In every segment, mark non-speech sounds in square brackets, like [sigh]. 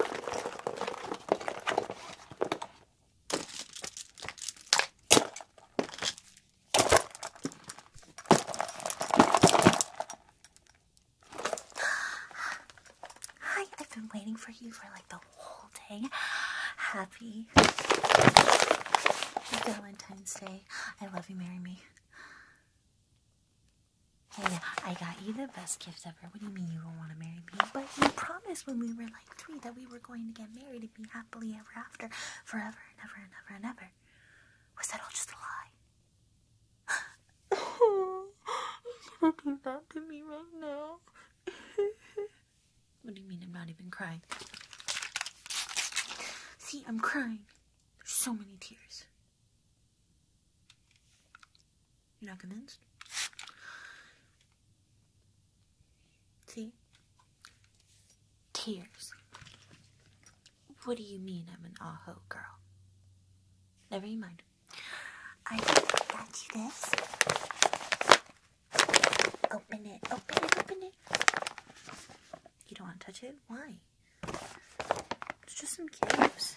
Hi, I've been waiting for you for like the whole day. Happy Valentine's Day. I love you, marry me. Hey, I got you the best gift ever. What do you mean you don't want to marry me? But you promised when we were like three that we were going to get married and be happily ever after, forever and ever and ever and ever. Was that all just a lie? you [laughs] not do that to me right now. [laughs] what do you mean I'm not even crying? See, I'm crying. There's so many tears. You're not convinced? See? Tears. What do you mean I'm an aho girl? Never mind. I got you this. Open it, open it, open it. You don't want to touch it? Why? It's just some cubes.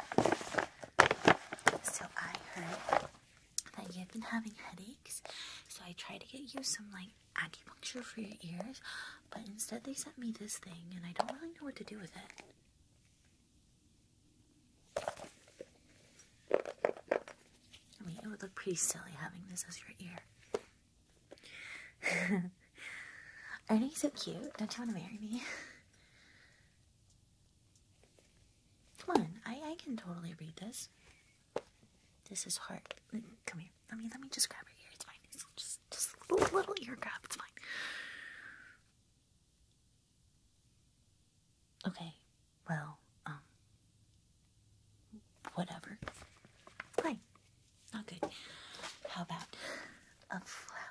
So I heard that you've been having headaches, so I tried to get you some like acupuncture for your ears, but instead they sent me this thing, and I don't really know what to do with it. I mean, it would look pretty silly having this as your ear. [laughs] Aren't you so cute? Don't you want to marry me? [laughs] Come on, I, I can totally read this. This is hard. Come here. Let me let me just grab her ear. It's fine. It's just just a little, little ear grab. It's fine. Okay. Well, um, whatever. Fine. Not good. How about a flower?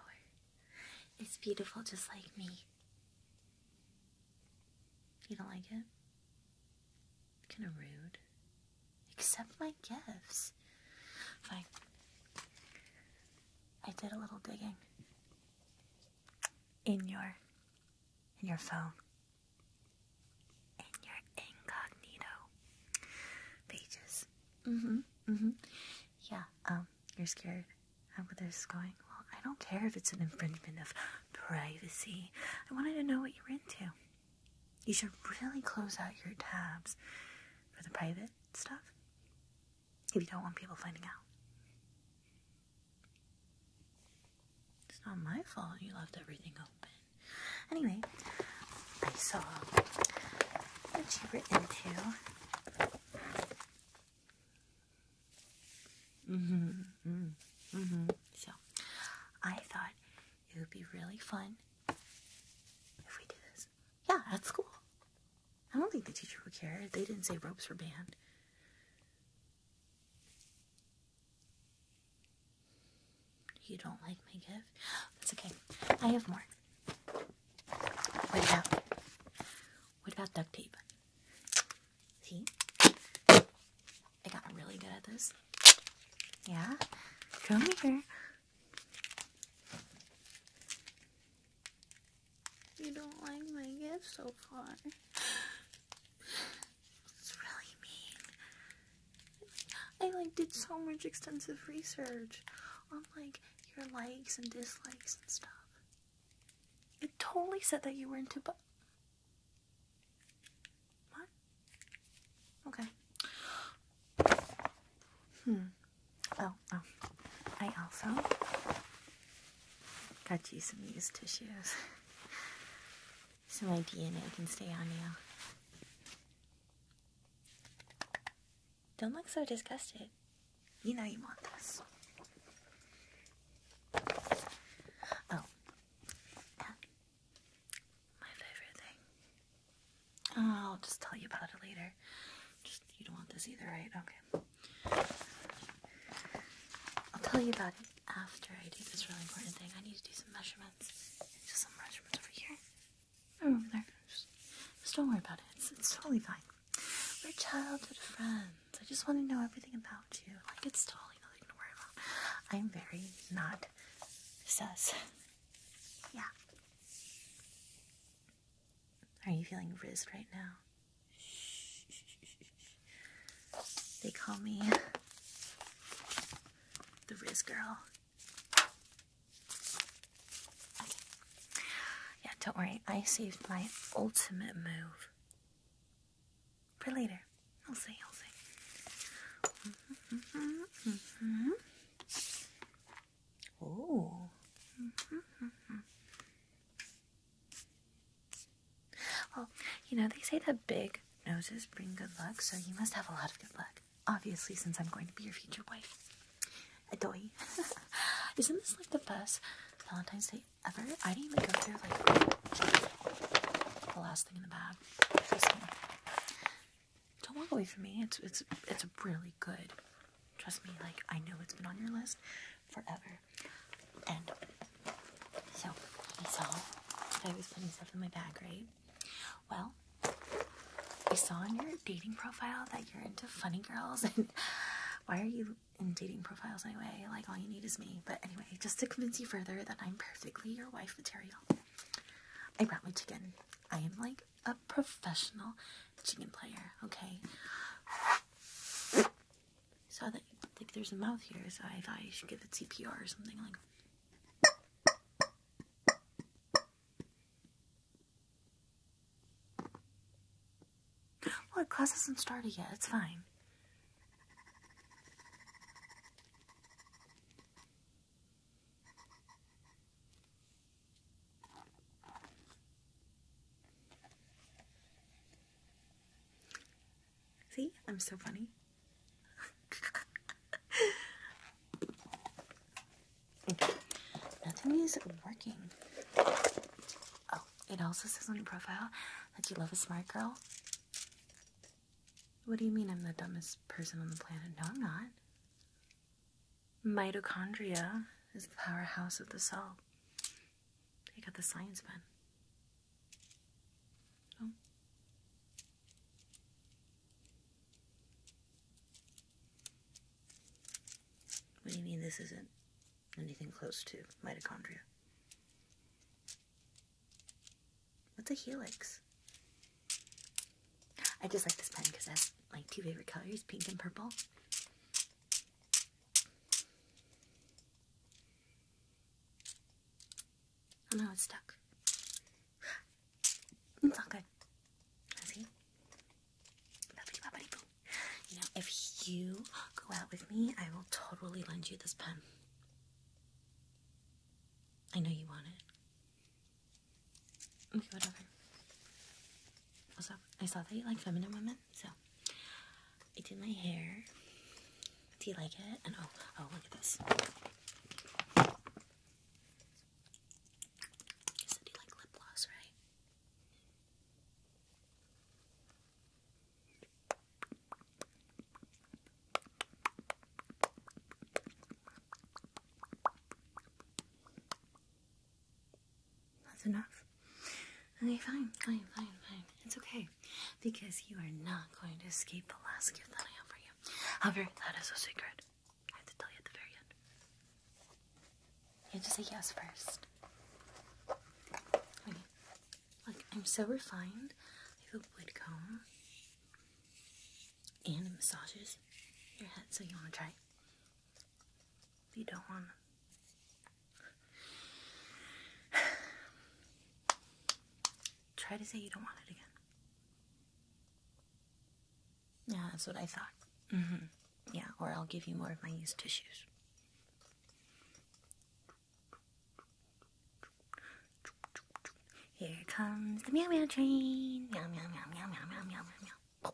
It's beautiful, just like me. You don't like it? Kinda rude. Accept my gifts. Fine. I did a little digging. In your in your phone. In your incognito pages. Mm-hmm. Mm-hmm. Yeah, um, you're scared. How about this going? Well, I don't care if it's an infringement of privacy. I wanted to know what you are into. You should really close out your tabs for the private stuff if you don't want people finding out. It's not my fault you left everything open. Anyway, I saw what you were into. Mm-hmm. Mm-hmm. Mm-hmm. So I thought it would be really fun if we do this. Yeah, that's cool. I don't think the teacher would care. They didn't say ropes were banned. You don't like my gift? That's okay. I have more. What about? What about duct tape? See? I got really good at this. Yeah? Come here. You don't like my gift so far. It's really mean. I like did so much extensive research on like your likes and dislikes and stuff. It totally said that you were into but what? Okay. Hmm. Oh, oh. I also got you some used tissues. so my DNA can stay on you. Don't look so disgusted. You know you want this. Oh, my favorite thing. Oh, I'll just tell you about it later. Just you don't want this either, right? Okay. I'll tell you about it after I do this really important thing. I need to do some measurements. Just some measurements over here. over there. Just, don't worry about it. it's totally fine. We're childhood friends. I just want to know everything about you. Like it's totally nothing to worry about. I'm very not sus. Yeah. Are you feeling rizzed right now? They call me the Riz Girl. Yeah, don't worry. I saved my ultimate move for later. I'll say, I'll say. Mm -hmm, mm -hmm. Mm -hmm. Well, oh, you know, they say that big noses bring good luck, so you must have a lot of good luck. Obviously, since I'm going to be your future wife. Adoy. [laughs] Isn't this like the best Valentine's Day ever. I didn't even go through like the last thing in the bag. don't walk away from me. It's it's it's really good. Trust me. Like I know it's been on your list forever. And so you I was putting stuff in my bag, right? Well, I saw on your dating profile that you're into funny girls [laughs] and why are you in dating profiles anyway. Like all you need is me. But anyway, just to convince you further that I'm perfectly your wife material, I brought my chicken. I am like a professional chicken player. Okay. Saw that like there's a mouth here, so I thought I should give it CPR or something like. Look, class hasn't started yet. It's fine. See? I'm so funny. [laughs] okay. Nothing is working. Oh, it also says on your profile that you love a smart girl. What do you mean I'm the dumbest person on the planet? No, I'm not. Mitochondria is the powerhouse of the cell. Take out the science pen. Oh. What do you mean this isn't anything close to mitochondria. What's a helix? I just like this pen because it has like two favorite colors, pink and purple. Oh no, it's stuck. It's not good. See? Now, if you go out with me, I will totally lend you this pen. I know you want it. Okay, whatever. Also, I saw that you like feminine women, so I did my hair. Do you like it? And oh, oh, look at this. You you like lip gloss, right? That's enough. Okay, fine, fine, fine, fine. It's okay. Because you are not going to escape the last gift that I have for you. However, that is a secret. I have to tell you at the very end. You have to say yes first. Okay. Like, I'm so refined. I have a wood comb and it massages your head, so you want to try it. you don't want [sighs] try to say you don't want it again. Yeah, that's what I thought. Mm-hmm. Yeah, or I'll give you more of my used tissues. Here comes the meow meow train. Meow meow meow meow meow meow meow meow.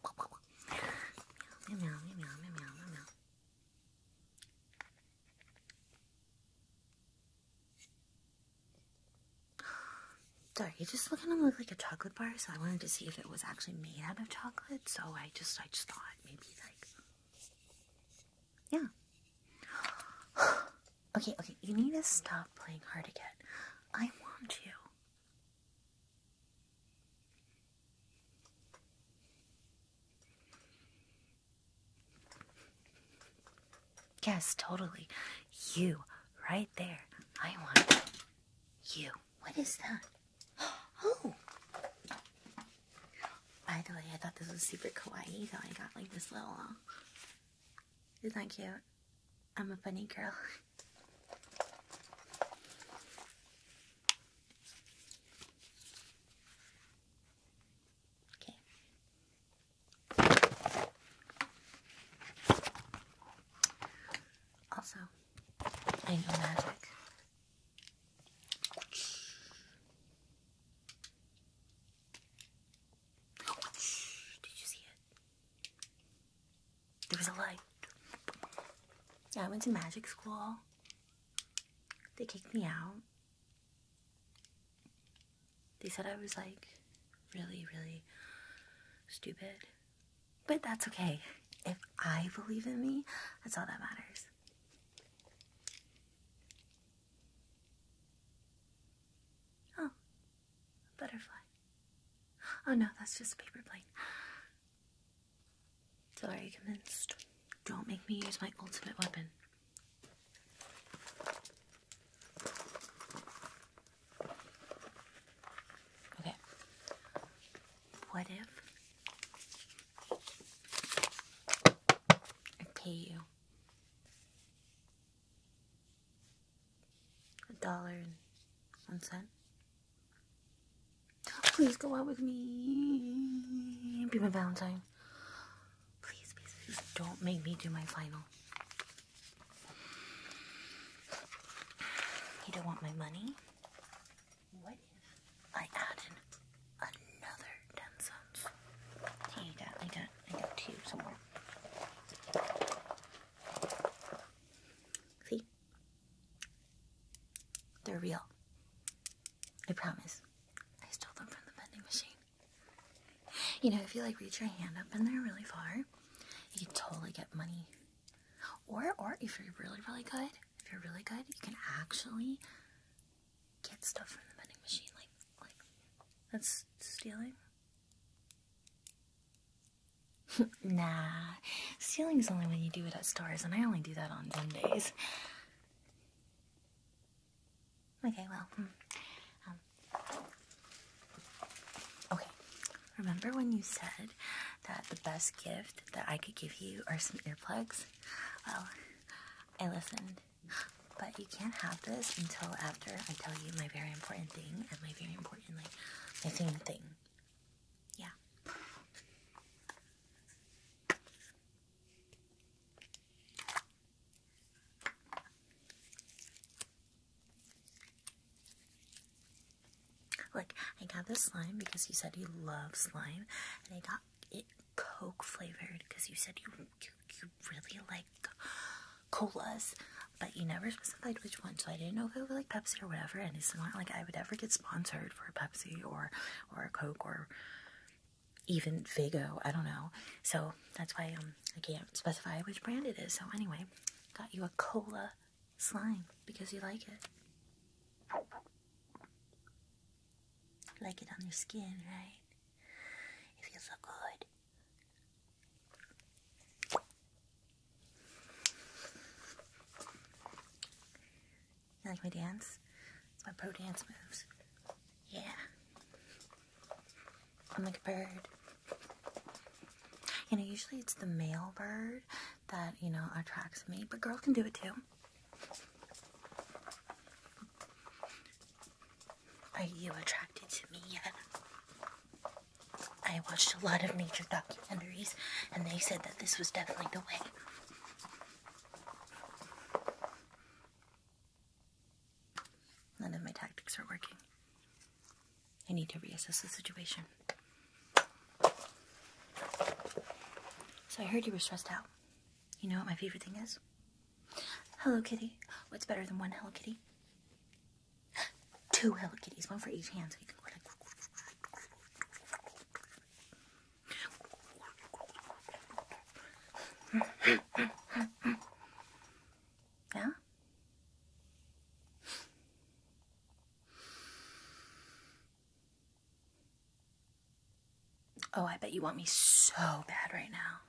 Meow meow meow meow meow meow meow. Sorry, it just kind of looked like a chocolate bar, so I wanted to see if it was actually made out of chocolate. So I just, I just thought maybe like yeah. [gasps] okay, okay, you need to stop playing hard again. I want you. Yes, totally. You, right there. I want you. What is that? [gasps] Oh! By the way, I thought this was super kawaii, so I got like this little. Uh, isn't that cute? I'm a funny girl. okay. Also, I know magic. Did you see it? There was a light. Yeah, I went to magic school. They kicked me out. They said I was like really, really stupid. But that's okay. If I believe in me, that's all that matters. Oh, butterfly. Oh no, that's just a paper plane. Still are you convinced? Don't make me use my ultimate weapon. Okay. What if I pay you a dollar and one cent. Please go out with me. Be my Valentine. Please, please, please don't make me do my final. You don't want my money? What? I add another 10 cents. Hey, I got, I got, I got two somewhere. See? They're real. I promise. I stole them from the vending machine. You know, if you like reach your hand up in there really far, you can totally get money. Or, or if you're really, really good, if you're really good, you can actually get stuff from the vending machine, like, like, that's stealing? [laughs] nah, stealing is only when you do it at stores, and I only do that on Sundays. Okay, well, hmm, um, okay. Remember when you said that the best gift that I could give you are some earplugs? Well, I listened but you can't have this until after I tell you my very important thing and my very important like my thing thing. Yeah. Look, I got this slime because you said you love slime, and I got it Coke flavored because you said you, you really like colas, but you never specified which one. So I didn't know if it was like Pepsi or whatever. And it's not like I would ever get sponsored for a Pepsi or or a Coke or even Fago. I don't know. So that's why um I can't specify which brand it is. So anyway, got you a cola slime because you like it. Like it on your skin, right? It feels so good. You like my dance? It's my pro dance moves. Yeah. I'm like a bird. You know, usually it's the male bird that, you know, attracts me, but girls can do it too. Are you attracted to me yet? I watched a lot of nature documentaries, and they said that this was definitely the way. None of my tactics are working. I need to reassess the situation. So I heard you were stressed out. You know what my favorite thing is? Hello Kitty. What's better than one Hello Kitty? Two Hello Kitties, one for each hand, so you can go like. yeah? Oh, I bet you want me so bad right now.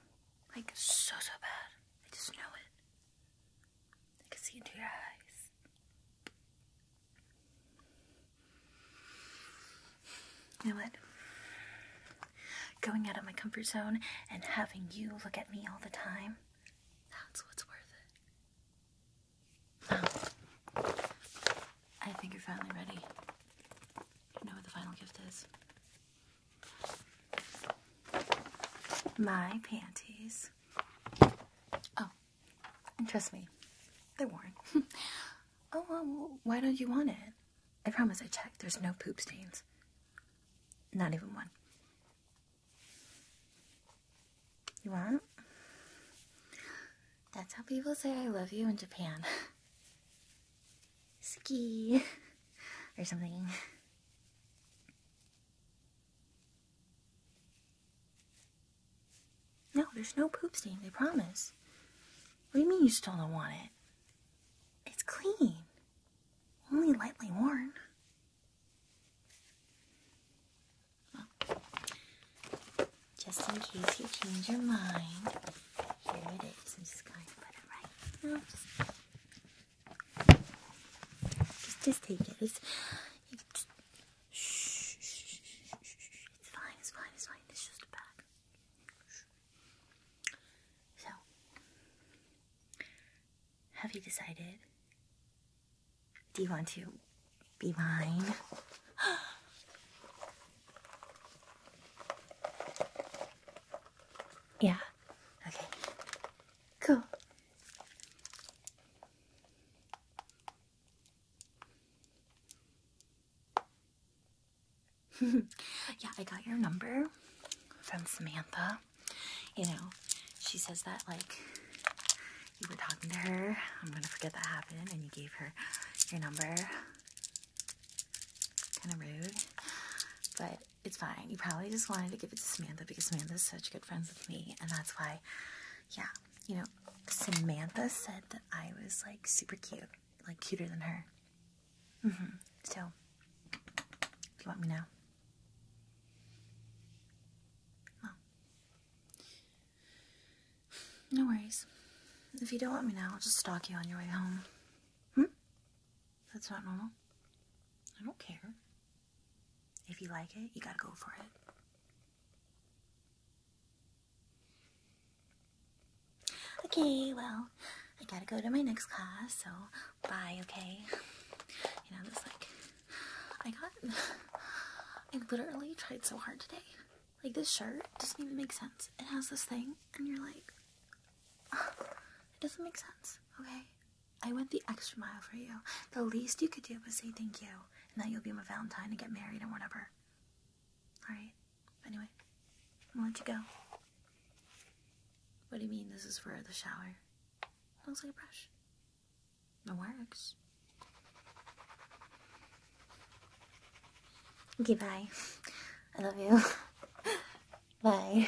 Like, so, so bad. I just know it. I can see into your eyes. You know what? Going out of my comfort zone and having you look at me all the time, that's what's worth it. I think you're finally ready. You know what the final gift is. My panties. Oh, trust me, they're worn. [laughs] oh, why don't you want it? I promise I checked. There's no poop stains. Not even one. You want? That's how people say I love you in Japan. [laughs] ski [laughs] or something. No, there's no poop stain, They promise. What do you mean you still don't want it? It's clean. Only lightly worn. just in case you change your mind, here it is. I'm just going to put it right. No, just, take it. it's fine. It's fine. It's fine. It's just a bag. So, have you decided? Do you want to be mine? Yeah. Okay. Cool. [laughs] yeah, I got your number from Samantha. You know, she says that like you were talking to her. I'm gonna forget that happened, and you gave her your number. Kind of rude, but it's fine. You probably just wanted to give it to Samantha because Samantha's such good friends with me, and that's why, yeah, you know, Samantha said that I was like super cute, like cuter than her. Mm hmm. So, you want me now. No worries. If you don't want me now, I'll just stalk you on your way home. Hmm? That's not normal. I don't care. If you like it, you gotta go for it. Okay, well, I gotta go to my next class, so bye, okay? You know, this like, I got, [laughs] I literally tried so hard today like this shirt doesn't even make sense. It has this thing, and you're like, it doesn't make sense. Okay, I went the extra mile for you. The least you could do was say thank you, and that you'll be my Valentine and get married and whatever. All right. Anyway, I'm gonna go. What do you mean this is for the shower? It looks like a brush. It works. Okay, bye. I love you. [laughs] bye.